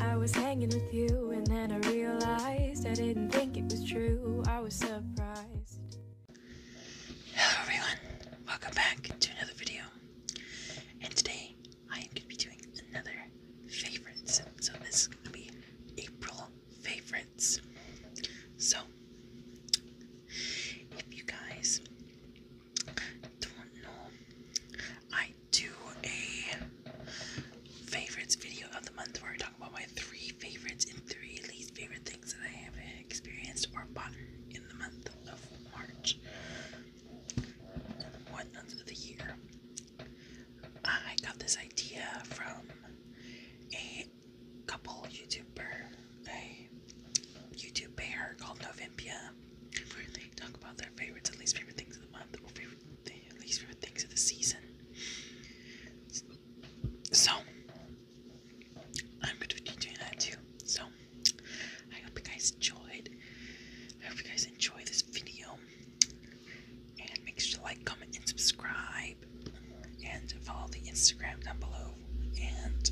I was hanging with you, and then I realized I didn't think it was true. I was surprised. Hello, everyone. Welcome back to another video. And today, I am going to be doing another favorites. So, this is going to be April favorites. So, if you guys don't know, I do a favorites video of the month where I talk about my three favorites and three least favorite things that I have experienced or bought in the month of March. One month of the year. I got this idea from a couple YouTuber, a YouTube pair called Novimpia talk about their favorites and least favorite things of the month or favorite, the eh, least favorite things of the season. So, I'm going to be doing that too. So, I hope you guys enjoyed. I hope you guys enjoy this video. And make sure to like, comment, and subscribe. And follow the Instagram down below. And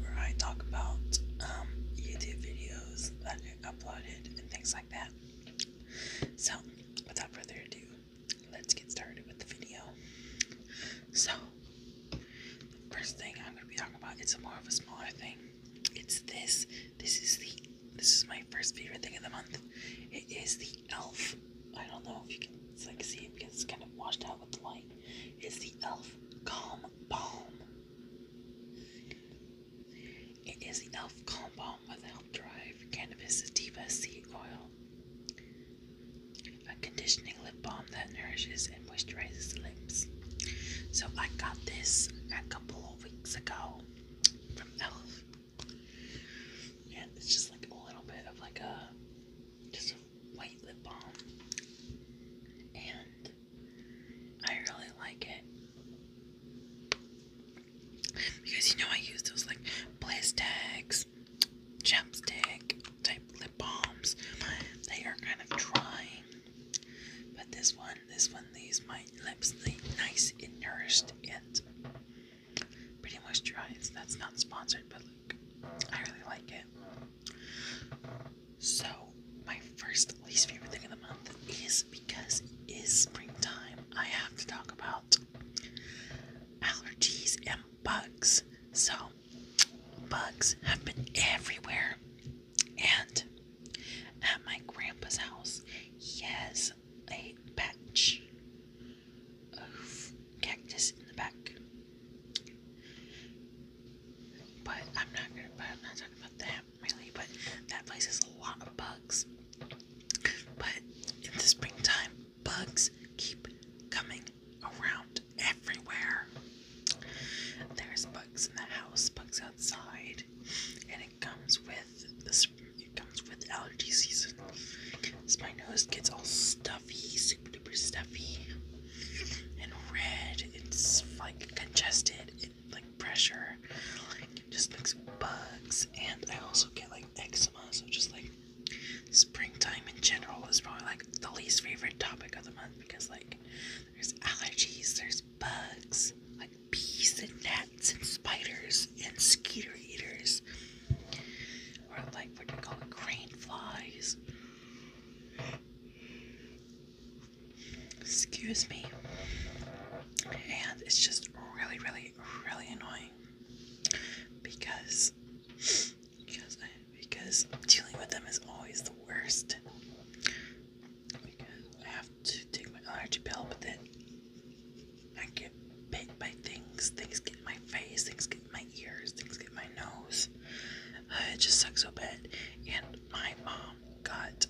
where I talk about um, YouTube videos that uploaded and things like that. So, without further ado, let's get started with the video. So, first thing I'm going to be talking about, it's more of a smaller thing. It's this. This is the this is my first favorite thing of the month. It is the Elf. I don't know if you can like see it because it's kind of washed out with the light. It's the Elf Calm Balm. It is the elf compound with elf drive, cannabis sativa seed oil, a conditioning lip balm that nourishes and moisturizes the lips. So I got this a couple of weeks ago from elf, and it's just like a little bit of like a just white lip balm, and I really like it. Because you know I use those like bliss tags, chapstick type lip balms. They are kind of dry. But this one, this one leaves my lips nice and nourished and pretty moisturized. That's not sponsored, but look, I really like it. So, my first least favorite thing of the month is because it is springtime. I have to talk about allergies and bugs. So, bugs have been everywhere. And at my grandpa's house, he has a patch of cactus in the back but I'm not gonna. But I'm not talking about that really. But that place has a lot of bugs. But in the springtime, bugs keep coming around everywhere. There's bugs in the house, bugs outside, and it comes with this. It comes with allergy season. my nose gets all stuffy, super stuffy and red. It's like congested and like pressure. Like just makes bugs. And I also get like eczema, so just like springtime in general is probably like the least favorite topic of the month because like there's allergies, there's bugs, like bees and gnats and spiders and skeeter eaters. Or like what do you call it, crane flies. Excuse me. And it's just really, really, really annoying because because I, because dealing with them is always the worst. Because I have to take my allergy pill, but then I get bit by things. Things get my face, things get in my ears, things get in my nose. Uh, it just sucks so bad. And my mom got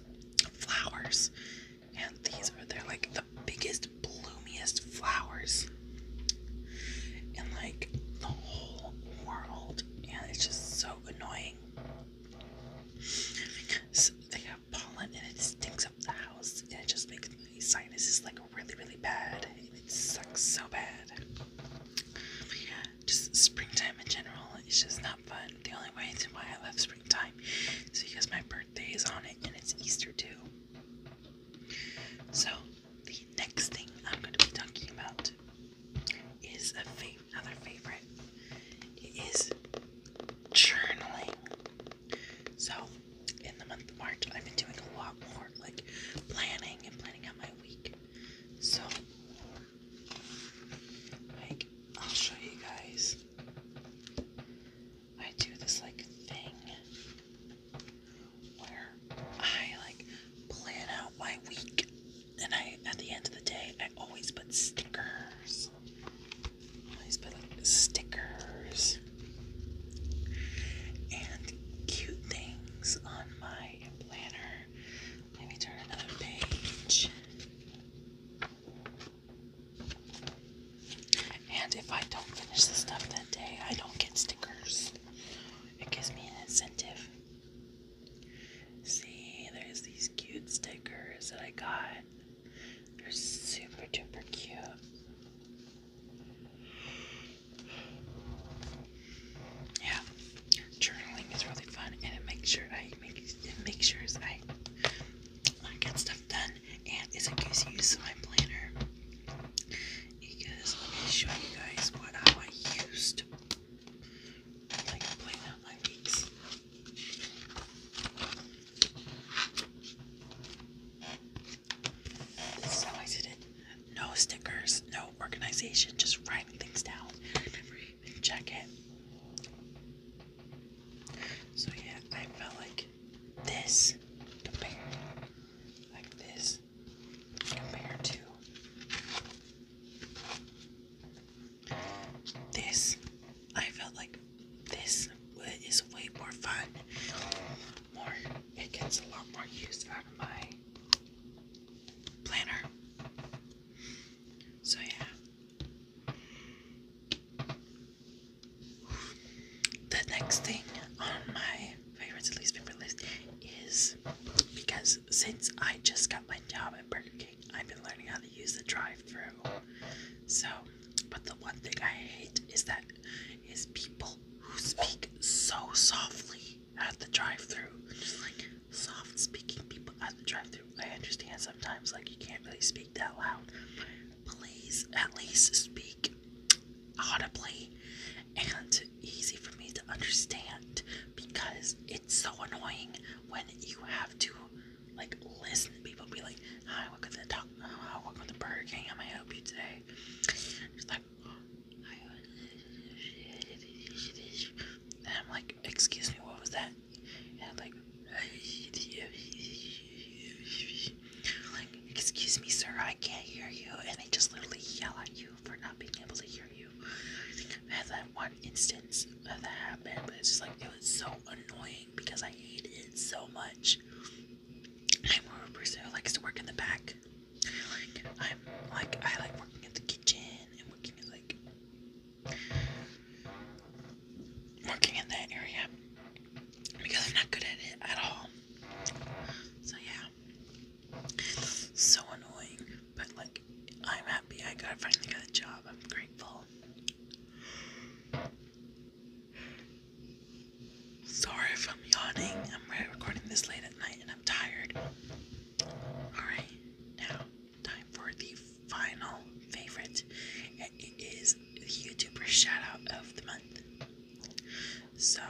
flowers, and these are they're like the biggest, bloomiest flowers in like the whole world, and it's just so annoying. So they have pollen and it stinks up the house and it just makes my sinuses like really really bad and it sucks so bad. Just springtime in general is just not fun. The only way to why I love springtime is because my birthday is on it and it's Easter too. So the next thing I'm going to be talking about is another favorite. It is journaling. So in the month of March, I've been doing a lot more like planning and planning out my week. So, like, I'll show you guys. I do this like thing where I like plan out my week, and I at the end of the day, I always put stickers. always put stickers and cute things on my planner. Let me turn another page. And if I don't finish the stuff that day, I don't get stickers. It gives me an incentive. See, there's these cute stickers that I got. They're super duper cute. Yeah, journaling is really fun, and it makes sure I make it makes sure I get stuff done, and it's a good my planner. Because let me show you guys what how I used like plan out my weeks. So I did it. No stickers, no organization, just writing things down. check it. So yeah, I felt like this compared, like this compared to this. I felt like this is way more fun. More, it gets a lot more use out of my planner. So yeah. The next thing on my favorites and least favorite list is because since I just got my job at Burger King, I've been learning how to use the drive-through. So but the one thing I hate is that is people who speak so softly at the drive-through. like soft speaking people at the drive-through. I understand sometimes like you can't really speak that loud. Please at least speak audibly and easy for me to understand because it's so annoying when you have to like listen to people be like, welcome to the talk. Uh, welcome to Burger King. How may I help you today? She's like, and I'm like, excuse me, what was that? And like, like, excuse me, sir, I can't hear you. And they just literally yell at you for not being able to hear you. I had that one instance of that happened, but it's just like, it was so annoying because I hated it so much. I'm more person who likes to work in the back. I'm like I like working in the kitchen and working in like working in that area because I'm not good at it at all. So yeah, so annoying. But like I'm happy I got finally got a job. I'm grateful. Sorry if I'm yawning. I'm recording this late at night and I'm tired. Alright, now time for the final favorite. It is the YouTuber shout of the month. So,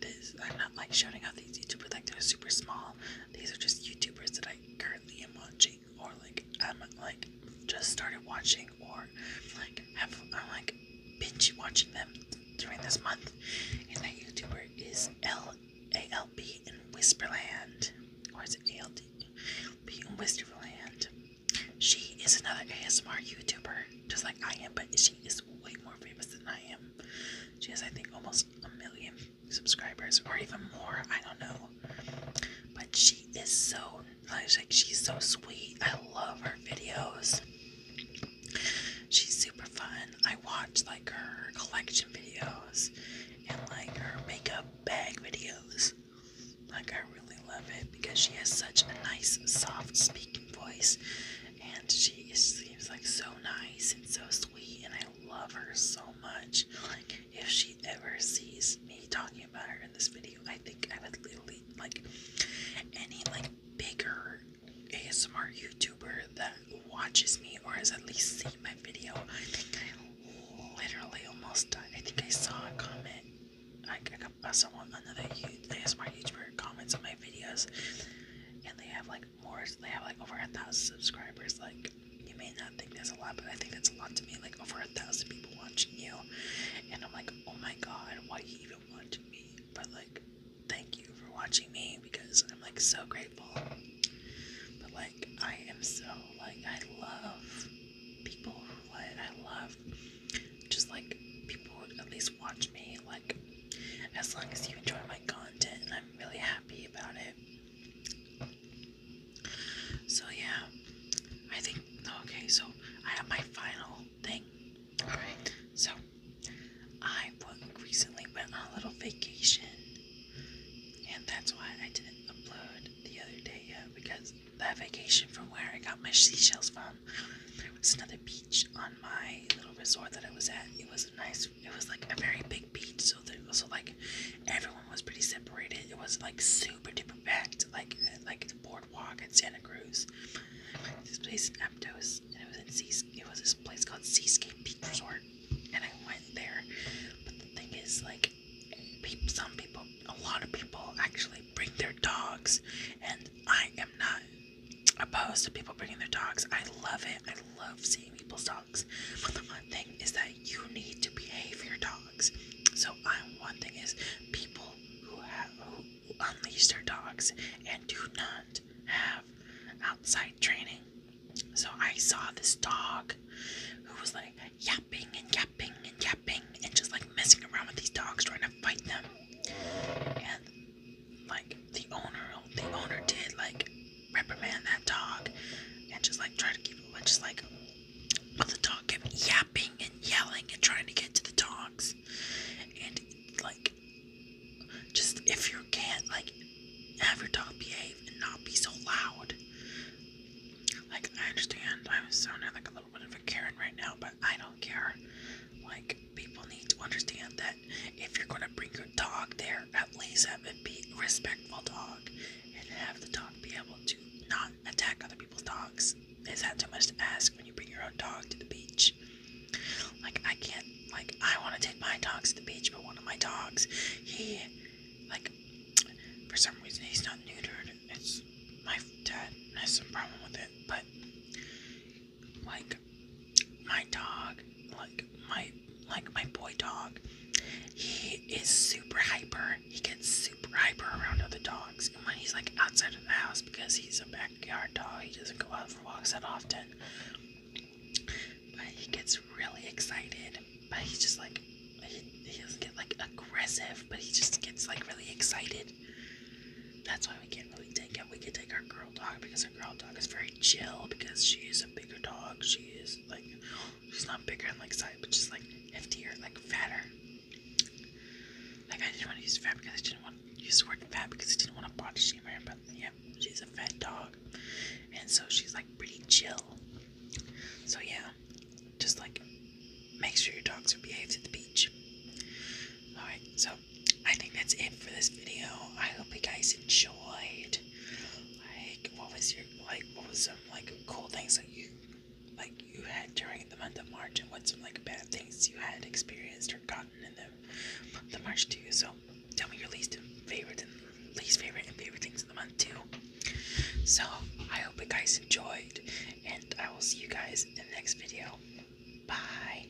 this, I'm not like shouting out these YouTubers like they're super small. These are just YouTubers that I currently am watching or like I'm like just started watching or like have I'm like binge watching them during this month and that YouTuber is L A L B in Whisperland or is it A L D B in Whisperland. She is another ASMR YouTuber just like I am but she is way more famous than I am. She has I think almost a million subscribers or even more. I don't know. But she is so like she's so sweet. I love her videos. She's super fun. I watch like her collection videos and like her makeup bag videos. Like I really love it because she has such a nice soft speaking voice and she is, seems like so nice and so sweet and I love her so much. Like if she ever sees me talking about her in this video, I think I would literally like any like bigger ASMR YouTuber that watches me or has at least seen my video. I think I literally almost died. I think I saw a comment. I, I someone another ASMR YouTuber comments on my videos, and they have like more. They have like over a thousand subscribers. Like you may not think that's a lot, but I think that's a lot to me. Like over a thousand people watching you, and I'm like, oh my god, why do you even watch me? But like, thank you for watching me because I'm like so grateful. But like, I am so like, I love people who like, I love just like people who at least watch me. Like, as long as you enjoy my content, and I'm really happy about it. So yeah, I think okay. So I have my final thing. All right. So I recently went on a little vacation, and that's why I didn't upload the other day because that vacation from where I got my seashells from. There was another beach on my little resort that I was at. It was a nice it was like a very big beach, so there so like everyone was pretty separated. It was like super duper packed, like like the boardwalk at Santa Cruz. This place in Aptos, and it was in Seas. It was this place called Seascape Beach Resort, and I went there. But the thing is, like, people, some people, a lot of people actually bring their dogs, and I am not opposed to people bringing their dogs. I love it. I love seeing people's dogs. But the one thing is that you need to behave your dogs. So I'm one thing is people who have who unleash their dogs and do not have outside training. So I saw this dog who was like yapping and yapping and yapping and just like messing around with these dogs trying to fight them. And like the owner the owner did like reprimand that dog and just like try to keep it, but just like, but the dog kept yapping and yelling and trying to get to the dogs. And like, just if you can't, like, have your dog behave and not be so loud. Like, I understand I'm sounding like a little bit of a Karen right now, but I don't care. Like, people need to understand that if you're gonna bring your dog there, at least have it be a respectful dog and have the dog be able to not attack other people's dogs. Is that too much to ask when you bring your own dog to the beach? Like I can't like I wanna take my dogs to the beach, but one of my dogs, he like for some reason he's not neutered. It's my dad has some problem with it, but like my dog, like my like my boy dog, he is super hyper. He gets super hyper around other dogs. And when he's like outside of the house because he's a backyard dog, he doesn't go out for walks that often. But he gets really excited. But he's just like he, he doesn't get like aggressive, but he just gets like really excited. That's why we can't really take him. We can take our girl dog because our girl dog is very chill because she is a bigger dog. She is like, she's not bigger in like size, but just like heftier, like fatter. Like I didn't want to use fat because I didn't want to use the word fat because I didn't want to body shame her. But yeah, she's a fat dog, and so she's like pretty chill. So yeah, just like make sure your dogs are behaved at the beach. All right, so um, I think that's it for this video. I hope you guys enjoyed. Like, what was your like? What was some like cool things that you like you had during the month of March, and what some like bad things you had experienced or gotten in the month March too? So tell me your least favorite and least favorite and favorite things in the month too. So I hope you guys enjoyed, and I will see you guys in the next video. Bye.